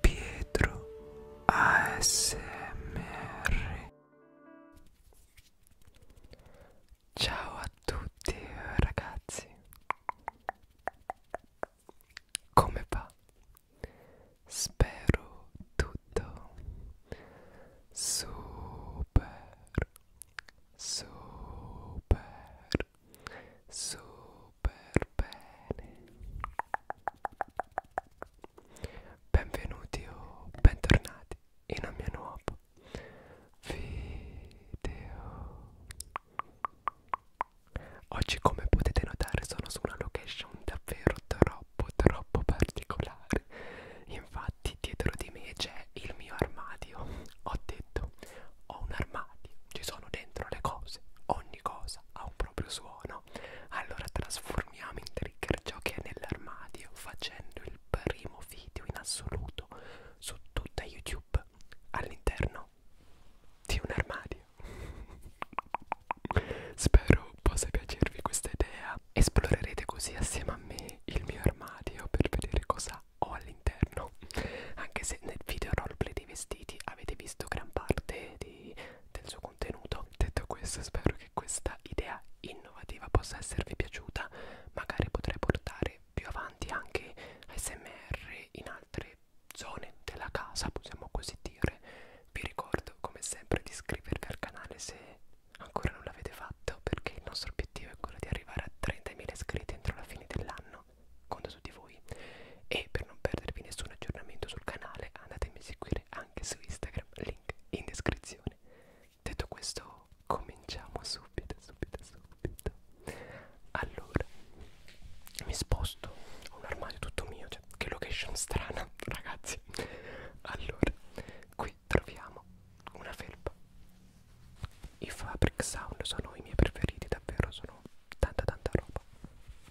Pietro ASMR Ciao a tutti ragazzi Come va? Spero tutto super super super bene benvenuti o bentornati in un mio nuovo video oggi come potete notare sono su una location davvero troppo troppo particolare infatti dietro di me c'è il mio armadio ho detto ho un armadio ci sono dentro le cose ogni ogni cosa ha un proprio suono allora trasformiamo in trigger ciò che è nell'armadio facendo il primo video in assoluto su tutta youtube all'interno di un armadio spero possa piacervi questa idea esplorerete così assieme a me il mio armadio per vedere cosa ho all'interno anche se nel video roleplay dei vestiti avete visto gran parte di, del suo contenuto. Detto questo spero che questa idea innovativa possa esservi piaciuta, magari potrei portare più avanti anche ASMR in altre zone della casa, possiamo così dire. Vi ricordo come sempre di iscrivervi al canale se ancora non l'avete fatto perché il nostro obiettivo è quello di arrivare a 30.000 iscritti entro la fine dell'anno conta su di voi e per non perdervi nessun aggiornamento sul canale andatemi a seguire anche su Instagram, link in descrizione. Detto questo cominciamo subito, subito, subito. Allora, mi sposto, ho un armadio tutto mio, cioè che location strana ragazzi. Allora, qui troviamo una felpa. I Fabric Sound sono i miei preferiti, davvero sono tanta tanta roba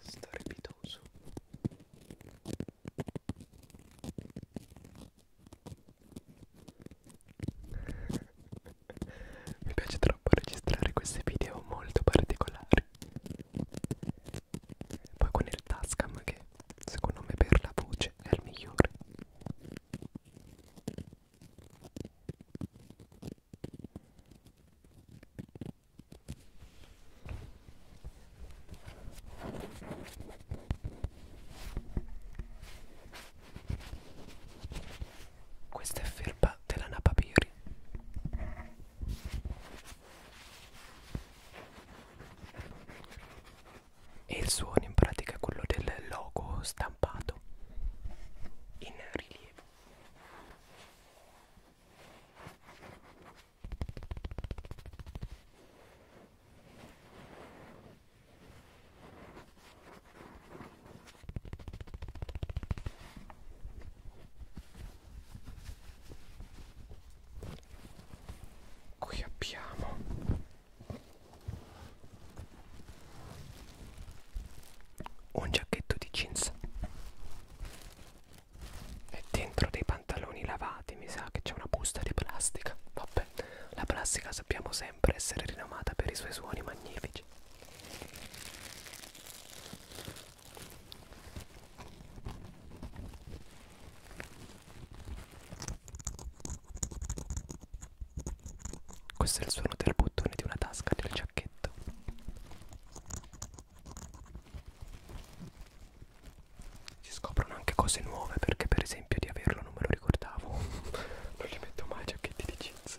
storbidoso mi piace troppo registrare questi video molto particolari poi con il Tascam che secondo me per la voce è il migliore questa è felpa della Napapiri. E il suono in pratica è quello del logo stampato in rilievo. Qui abbiamo un giacchetto di jeans e dentro dei pantaloni lavati mi sa che c'è una busta di plastica vabbè la plastica sappiamo sempre essere rinomata per i suoi suoni magnifici questo è il suono del bottone di una tasca del giacchetto si scoprono anche cose nuove perché per esempio di averlo non me lo ricordavo. non li metto mai giacchetti di jeans.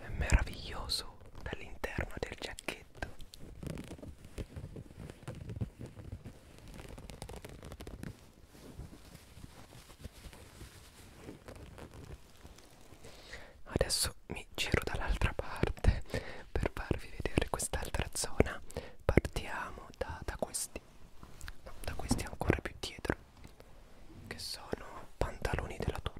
È meraviglioso dall'interno del giacchetto. Adesso mi giro dall'altra parte per farvi vedere quest'altra zona. Partiamo da, da questi, no, da questi ancora più dietro, che sono pantaloni della tuta.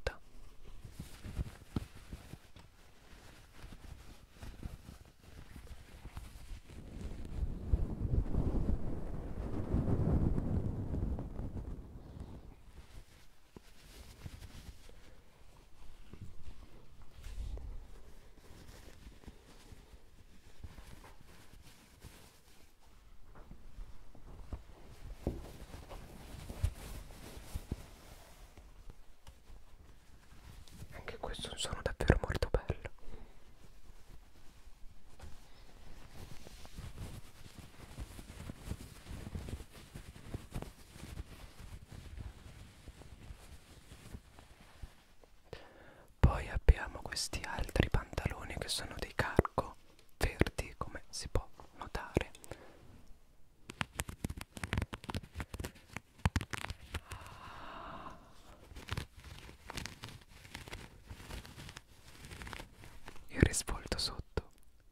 Anche questo è un suono davvero molto bello. Poi abbiamo questi altri pantaloni che sono dei cargo verdi come si può notare. Il risvolto sotto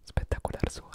spettacolar suono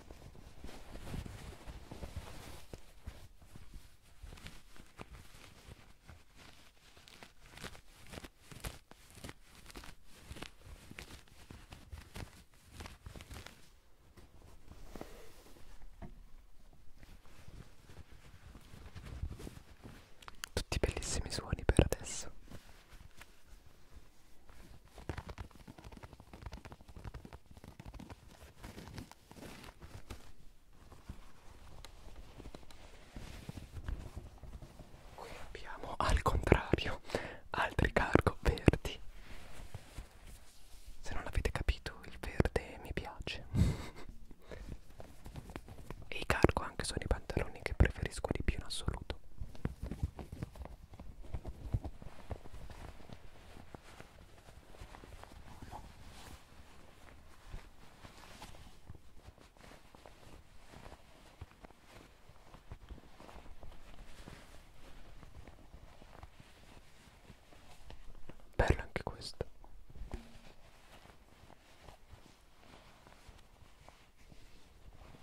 tutti bellissimi suoni per adesso. Qui abbiamo al contrario altri cargo verdi. Se non avete capito, il verde mi piace. e i cargo anche sono i pantaloni che preferisco di più in assoluto. Bello anche questo.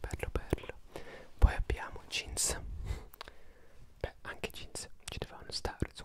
Bello bello Poi abbiamo jeans Beh anche jeans ci dovevano stare su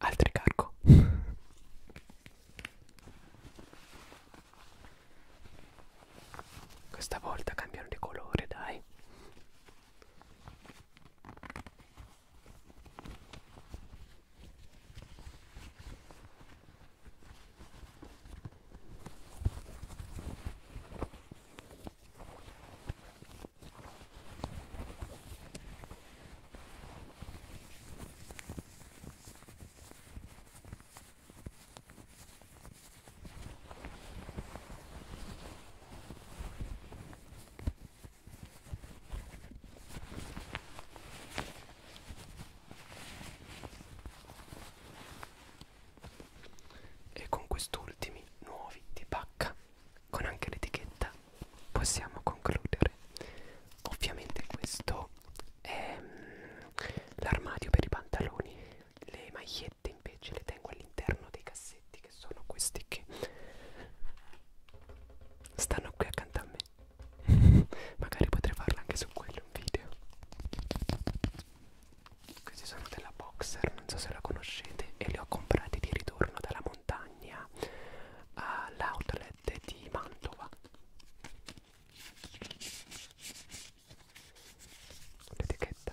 altri cargo questa volta cambiano di colore dai e con quest'ultimi nuovi di pacca con anche l'etichetta possiamo concludere ovviamente questo è mm, l'armadio per i pantaloni le magliette invece le tengo all'interno dei cassetti che sono questi che stanno qui accanto a me magari potrei farlo anche su quello un video questi sono della boxer non so se la conoscete e li ho comprati di ritorno dalla montagna Romagna all'outlet eh, di Mantova l'etichetta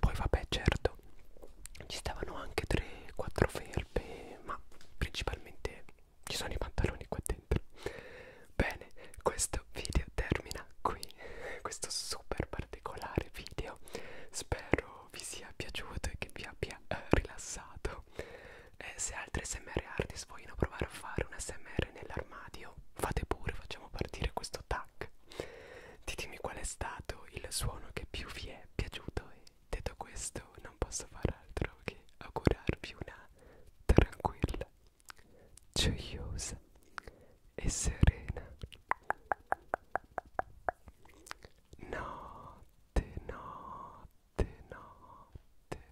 Poi vabbè certo ci stavano anche 3-4 felpe ma principalmente ci sono i pantaloni qua dentro. Bene, questo video termina qui, questo super particolare video. Spero vi sia piaciuto e che vi abbia eh, rilassato. E eh, se altri SMR artist vogliono provare a fare un SMR nell'armadio, fate pure, facciamo partire questo tag. Ditemi qual è stato il suono che più vi è piaciuto e detto questo non posso far altro che augurarvi una tranquilla, gioiosa e serena notte, notte, notte.